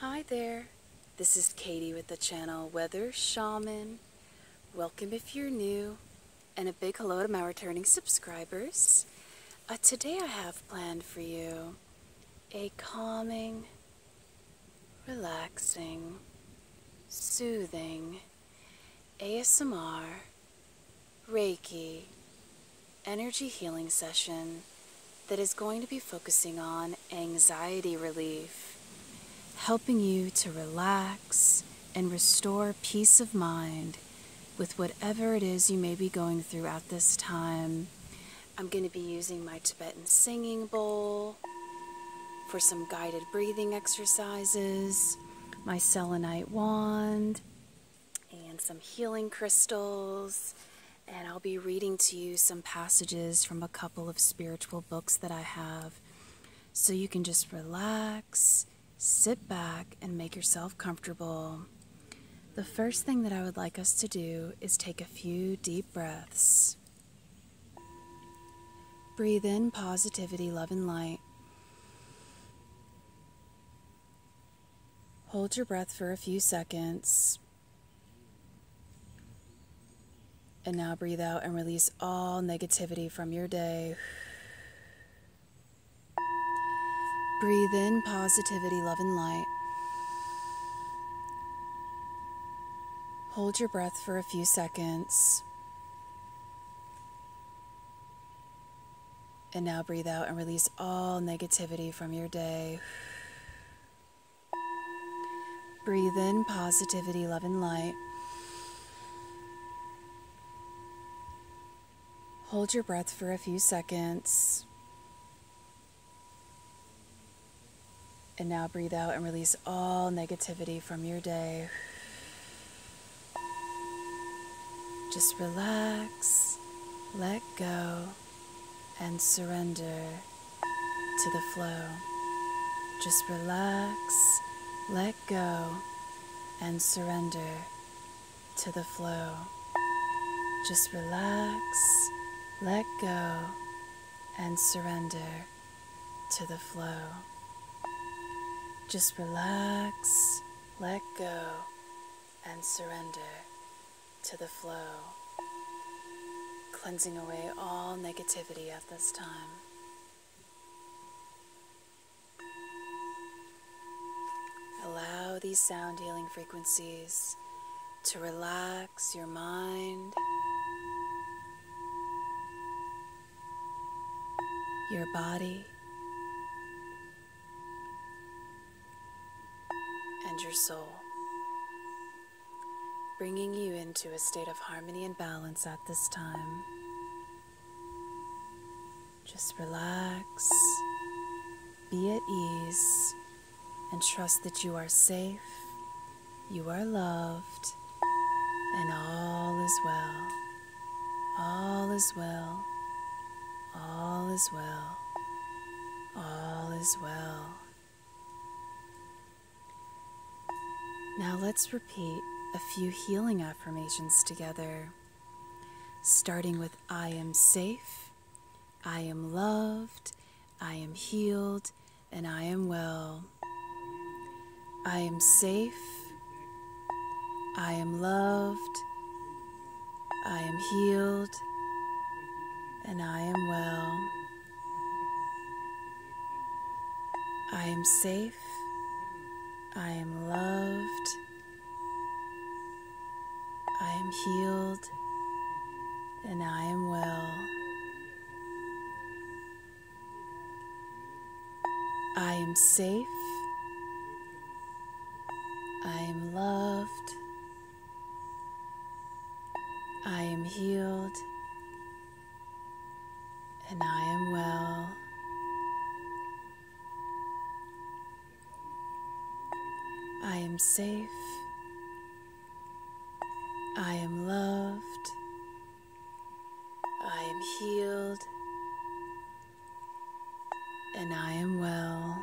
Hi there, this is Katie with the channel Weather Shaman. Welcome if you're new, and a big hello to my returning subscribers. Uh, today I have planned for you a calming, relaxing, soothing ASMR Reiki energy healing session that is going to be focusing on anxiety relief, helping you to relax and restore peace of mind with whatever it is you may be going through at this time. I'm going to be using my Tibetan singing bowl for some guided breathing exercises, my selenite wand, and some healing crystals, and I'll be reading to you some passages from a couple of spiritual books that I have. So you can just relax, sit back, and make yourself comfortable. The first thing that I would like us to do is take a few deep breaths. Breathe in positivity, love, and light. Hold your breath for a few seconds. And now breathe out and release all negativity from your day. Breathe in positivity, love, and light. Hold your breath for a few seconds. And now breathe out and release all negativity from your day. Breathe in positivity, love, and light. Hold your breath for a few seconds. And now breathe out and release all negativity from your day. Just relax, let go, and surrender to the flow. Just relax, let go, and surrender to the flow. Just relax, let go, and surrender to the flow. Just relax, let go, and surrender to the flow, cleansing away all negativity at this time. Allow these sound healing frequencies to relax your mind, your body, and your soul bringing you into a state of harmony and balance at this time. Just relax, be at ease, and trust that you are safe, you are loved, and all is well. All is well. All is well. All is well. Now let's repeat a few healing affirmations together, starting with I am safe, I am loved, I am healed, and I am well. I am safe, I am loved, I am healed, and I am well. I am safe. I am loved. I am healed and I am well. I am safe. I am loved. I am healed and I am well. I am safe. I am loved. I am healed. And I am well.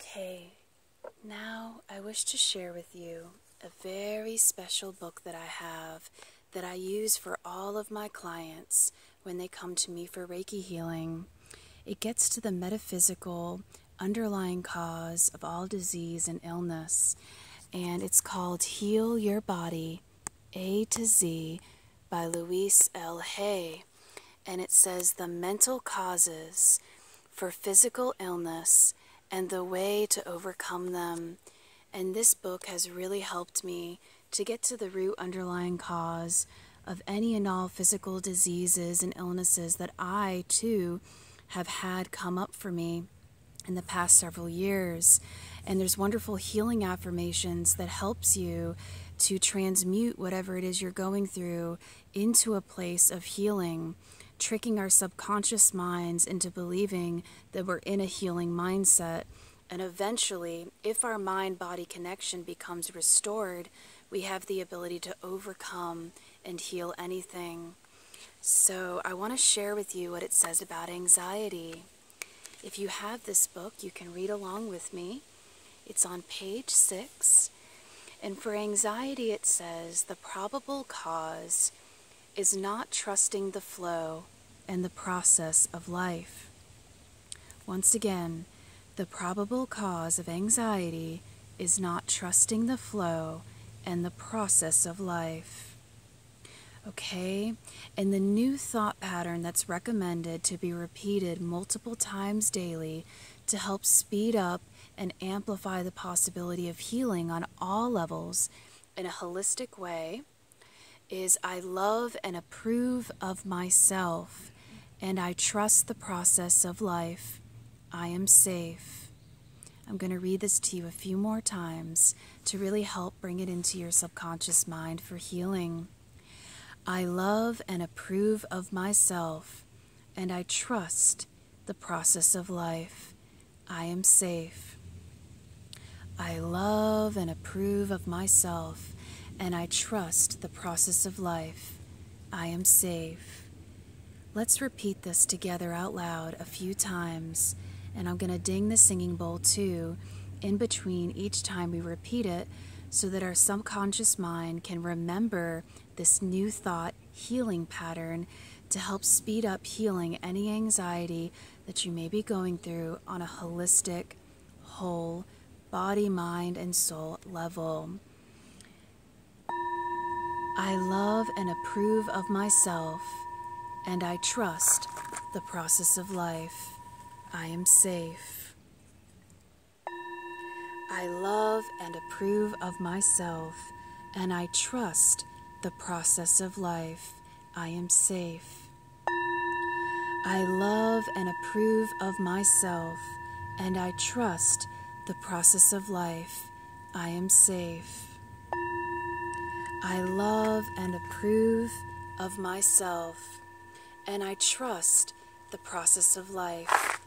Okay, now I wish to share with you a very special book that I have that I use for all of my clients when they come to me for Reiki healing. It gets to the metaphysical underlying cause of all disease and illness, and it's called Heal Your Body a to Z by Louise L. Hay. And it says the mental causes for physical illness and the way to overcome them. And this book has really helped me to get to the root underlying cause of any and all physical diseases and illnesses that I, too, have had come up for me in the past several years. And there's wonderful healing affirmations that helps you to transmute whatever it is you're going through into a place of healing, tricking our subconscious minds into believing that we're in a healing mindset. And eventually, if our mind body connection becomes restored, we have the ability to overcome and heal anything. So, I want to share with you what it says about anxiety. If you have this book, you can read along with me. It's on page 6. And for anxiety, it says the probable cause is not trusting the flow and the process of life. Once again, the probable cause of anxiety is not trusting the flow and the process of life. Okay, and the new thought pattern that's recommended to be repeated multiple times daily to help speed up and amplify the possibility of healing on all levels in a holistic way is I love and approve of myself and I trust the process of life. I am safe. I'm going to read this to you a few more times to really help bring it into your subconscious mind for healing. I love and approve of myself, and I trust the process of life. I am safe. I love and approve of myself, and I trust the process of life. I am safe. Let's repeat this together out loud a few times. And I'm going to ding the singing bowl too in between each time we repeat it so that our subconscious mind can remember this new thought healing pattern to help speed up healing any anxiety that you may be going through on a holistic, whole body, mind, and soul level. I love and approve of myself, and I trust the process of life, I am safe. I love and approve of myself, and I trust the process of life, I am safe. I love and approve of myself, and I trust the process of life, I am safe. I love and approve of myself, and I trust the process of life.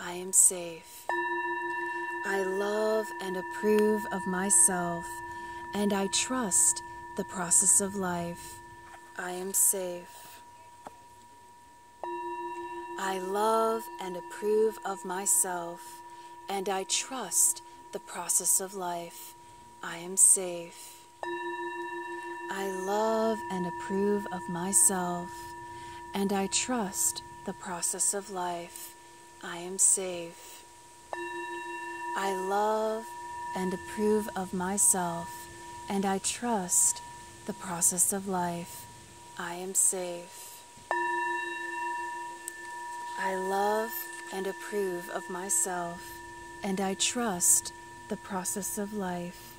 I am safe. I love and approve of myself, and I trust the process of life. I am safe. I love and approve of myself, and I trust the process of life. I am safe. I love and approve of myself, and I trust the process of life. I am safe. I love and approve of myself, and I trust the process of life. I am safe. I love and approve of myself, and I trust the process of life.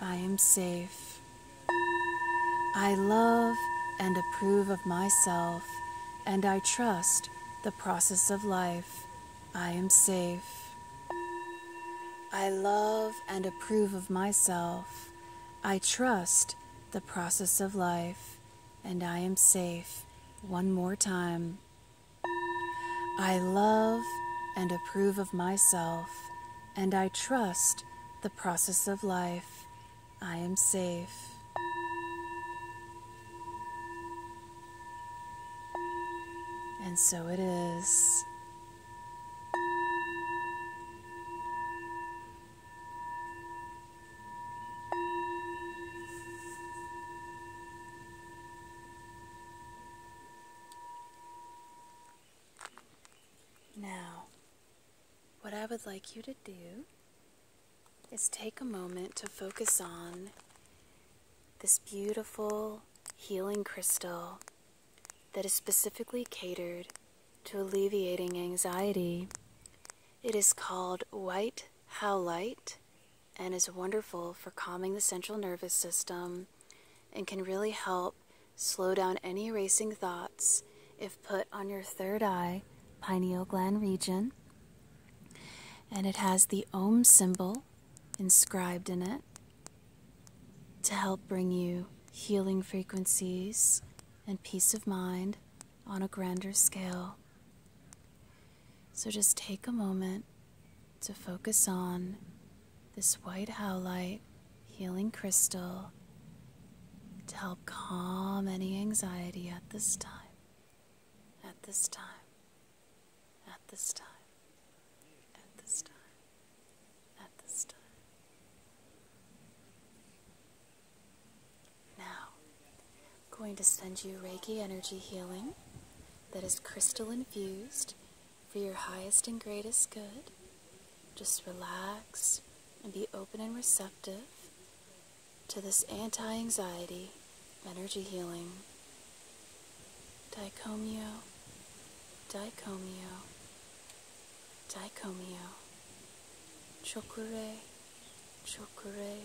I am safe. I love and approve of myself, and I trust the process of life. I am safe. I love and approve of myself. I trust the process of life, and I am safe. One more time. I love and approve of myself, and I trust the process of life. I am safe. And so it is. Now, what I would like you to do is take a moment to focus on this beautiful healing crystal that is specifically catered to alleviating anxiety. It is called white howlite and is wonderful for calming the central nervous system and can really help slow down any racing thoughts if put on your third eye, pineal gland region. And it has the Om symbol inscribed in it to help bring you healing frequencies and peace of mind on a grander scale. So just take a moment to focus on this white howlite healing crystal to help calm any anxiety at this time, at this time, at this time. At this time, at this time. Now, I'm going to send you Reiki Energy Healing that is crystal infused for your highest and greatest good. Just relax and be open and receptive to this anti anxiety energy healing. Dicomio, dicomio, dicomio. Chokurei, Chokurei.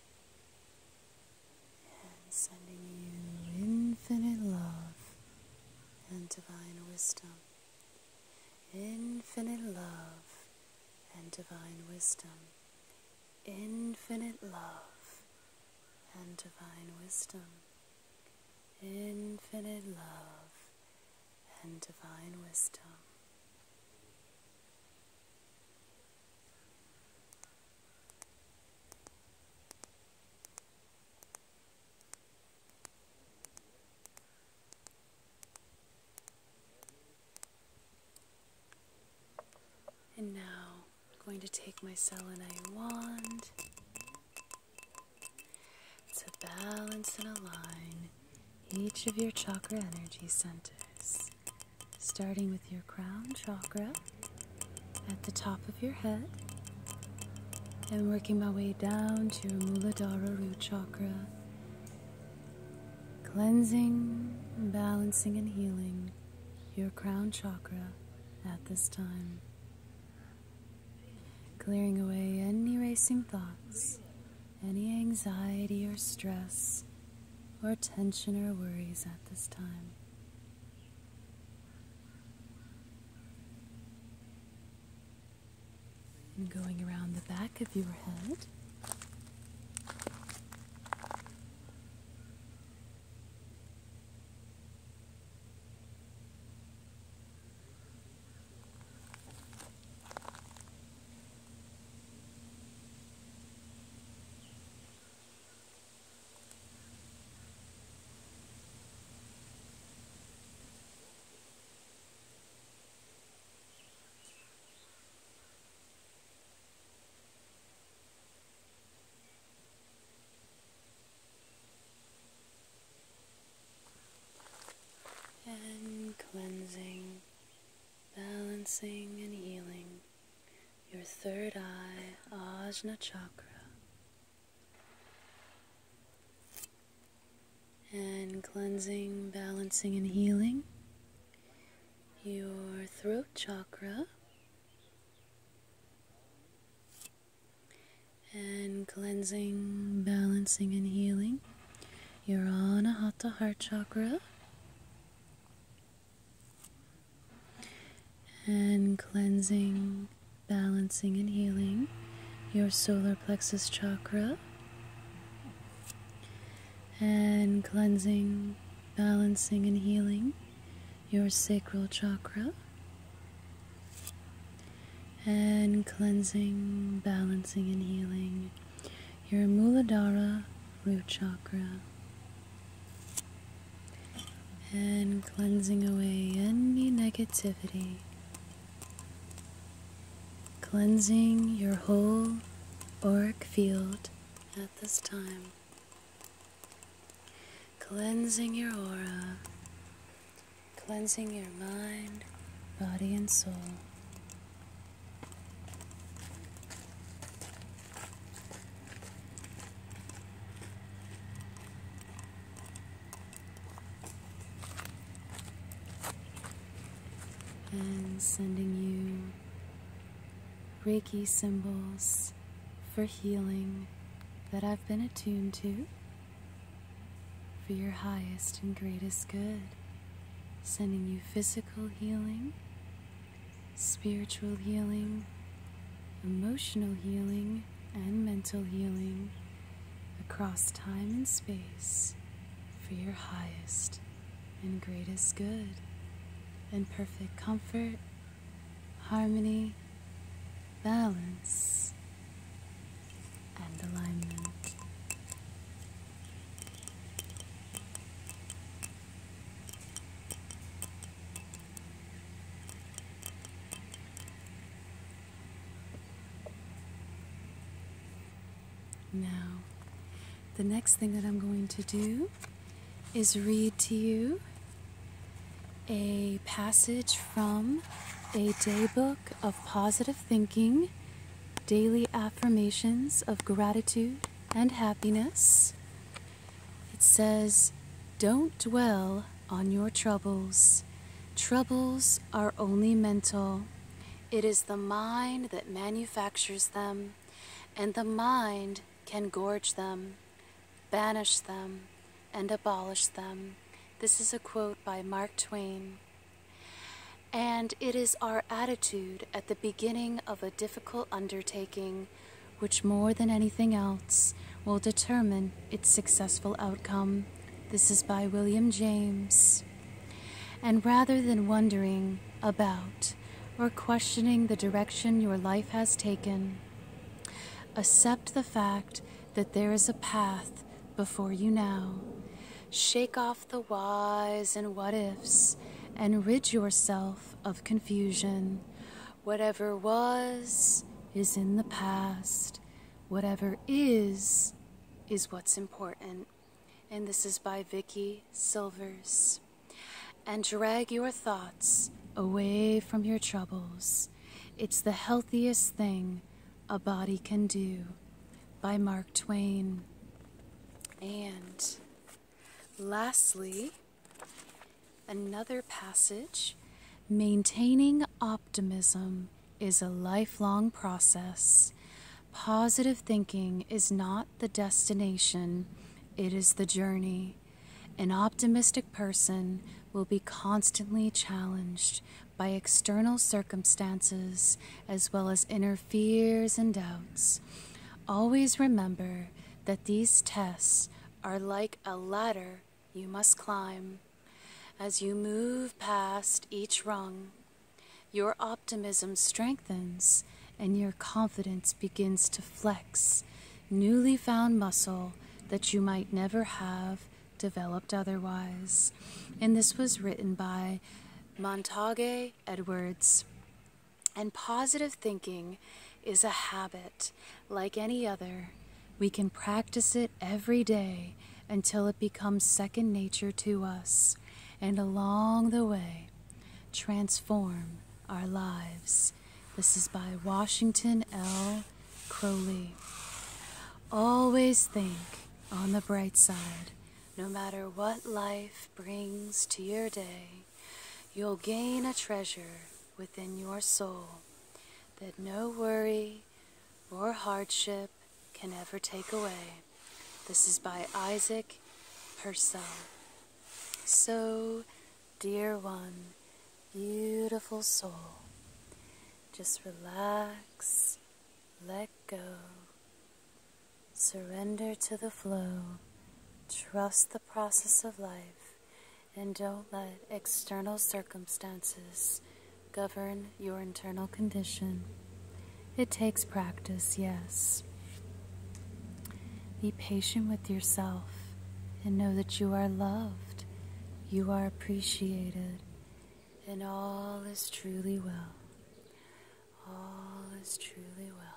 and sending you infinite love and divine wisdom. Infinite love and divine wisdom. Infinite love and divine wisdom. Infinite love and divine wisdom. And now I'm going to take my selenite wand to balance and align each of your chakra energy centers, starting with your crown chakra at the top of your head and working my way down to your Muladhara root chakra, cleansing, balancing, and healing your crown chakra at this time, clearing away any racing thoughts, any anxiety or stress or tension or worries at this time. And going around the back of your head and cleansing, balancing, and healing your third eye, Ajna Chakra. And cleansing, balancing, and healing your throat chakra. And cleansing, balancing, and healing your Anahata heart chakra and cleansing, balancing, and healing your solar plexus chakra, and cleansing, balancing, and healing your sacral chakra, and cleansing, balancing, and healing your Muladhara root chakra and cleansing away any negativity, cleansing your whole auric field at this time, cleansing your aura, cleansing your mind, body, and soul and sending you Reiki symbols for healing that I've been attuned to for your highest and greatest good. Sending you physical healing spiritual healing, emotional healing, and mental healing across time and space for your highest and greatest good in perfect comfort, harmony, balance, and alignment. Now, the next thing that I'm going to do is read to you a passage from a daybook of positive thinking, daily affirmations of gratitude and happiness. It says, Don't dwell on your troubles. Troubles are only mental. It is the mind that manufactures them, and the mind can gorge them, banish them, and abolish them. This is a quote by Mark Twain. And it is our attitude at the beginning beginning of a difficult undertaking, which more than anything else will determine its successful outcome. This is by William James. And rather than wondering about or questioning the direction your life has taken, accept the fact that there is a path before you now. Shake off the whys and what ifs and rid yourself of confusion. Whatever was is in the past. Whatever is is what's important. And this is by Vicky Silvers. And drag your thoughts away from your troubles. It's the healthiest thing a body can do by Mark Twain. And Lastly, another passage maintaining optimism is a lifelong process. Positive thinking is not the destination, it is the journey. An optimistic person will be constantly challenged by external circumstances as well as inner fears and doubts. Always remember that these tests are like a ladder you must climb. As you move past each rung, your optimism strengthens and your confidence begins to flex newly found muscle that you might never have developed otherwise. And this was written by Montague Edwards. And positive thinking is a habit like any other. We can practice it every day until it becomes second nature to us, and along the way, transform our lives. This is by Washington L. Crowley. Always think on the bright side, no matter what life brings to your day you'll gain a treasure within your soul that no worry or hardship can ever take away. This is by Isaac Purcell. So, dear one, beautiful soul, just relax, let go, Surrender to the flow, trust the process of life, and don't let external circumstances govern your internal condition. It takes practice, yes. Be patient with yourself and know that you are loved, you are appreciated, and all is truly well. All is truly well.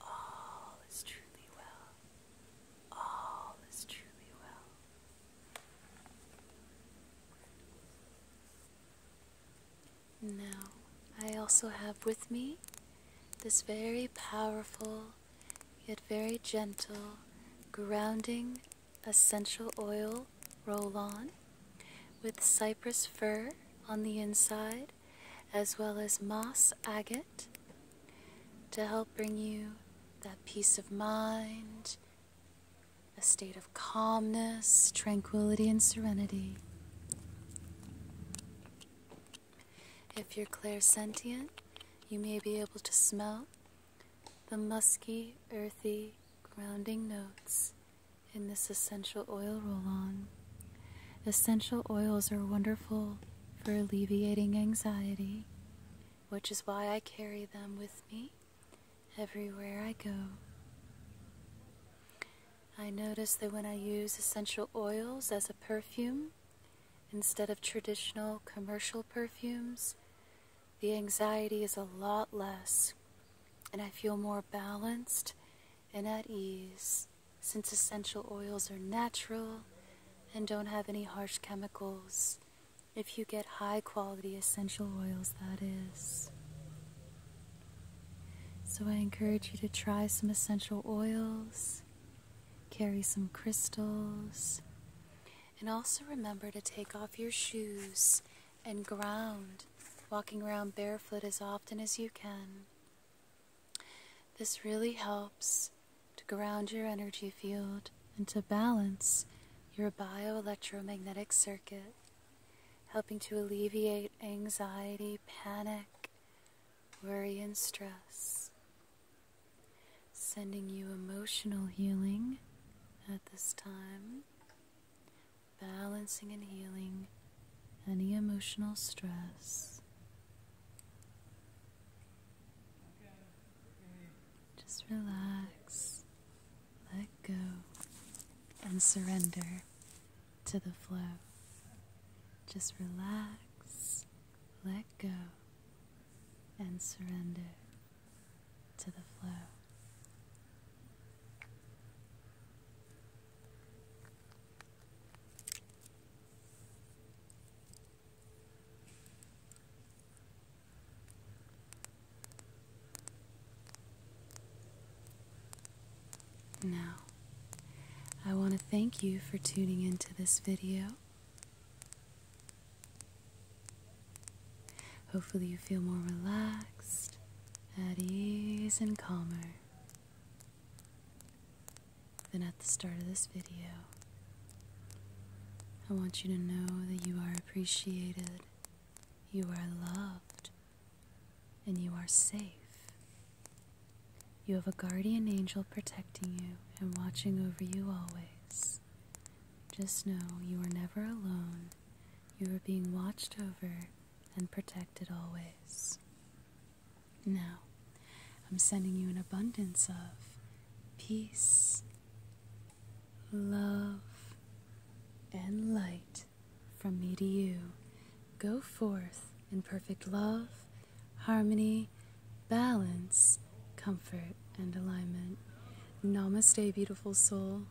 All is truly well. All is truly well. Now, I also have with me this very powerful, yet very gentle, grounding essential oil roll on with cypress fir on the inside as well as moss agate to help bring you that peace of mind, a state of calmness, tranquility, and serenity. If you're clairsentient, you may be able to smell the musky, earthy, grounding notes in this essential oil roll on. Essential oils are wonderful for alleviating anxiety, which is why I carry them with me everywhere I go. I notice that when I use essential oils as a perfume, instead of traditional commercial perfumes, the anxiety is a lot less, and I feel more balanced and at ease since essential oils are natural and don't have any harsh chemicals. If you get high quality essential oils, that is. So I encourage you to try some essential oils, carry some crystals, and also remember to take off your shoes and ground, walking around barefoot as often as you can. This really helps to ground your energy field and to balance your bioelectromagnetic circuit, helping to alleviate anxiety, panic, worry, and stress. Sending you emotional healing at this time balancing and healing any emotional stress. Just relax, let go, and surrender to the flow. Just relax, let go, and surrender to the flow. Now, I want to thank you for tuning into this video. Hopefully, you feel more relaxed, at ease, and calmer. Then at the start of this video, I want you to know that you are appreciated, you are loved, and you are safe. You have a guardian angel protecting you and watching over you always. Just know you are never alone. You are being watched over and protected always. Now, I'm sending you an abundance of peace, love, and light from me to you. Go forth in perfect love, harmony, balance, comfort, and alignment. Namaste, beautiful soul.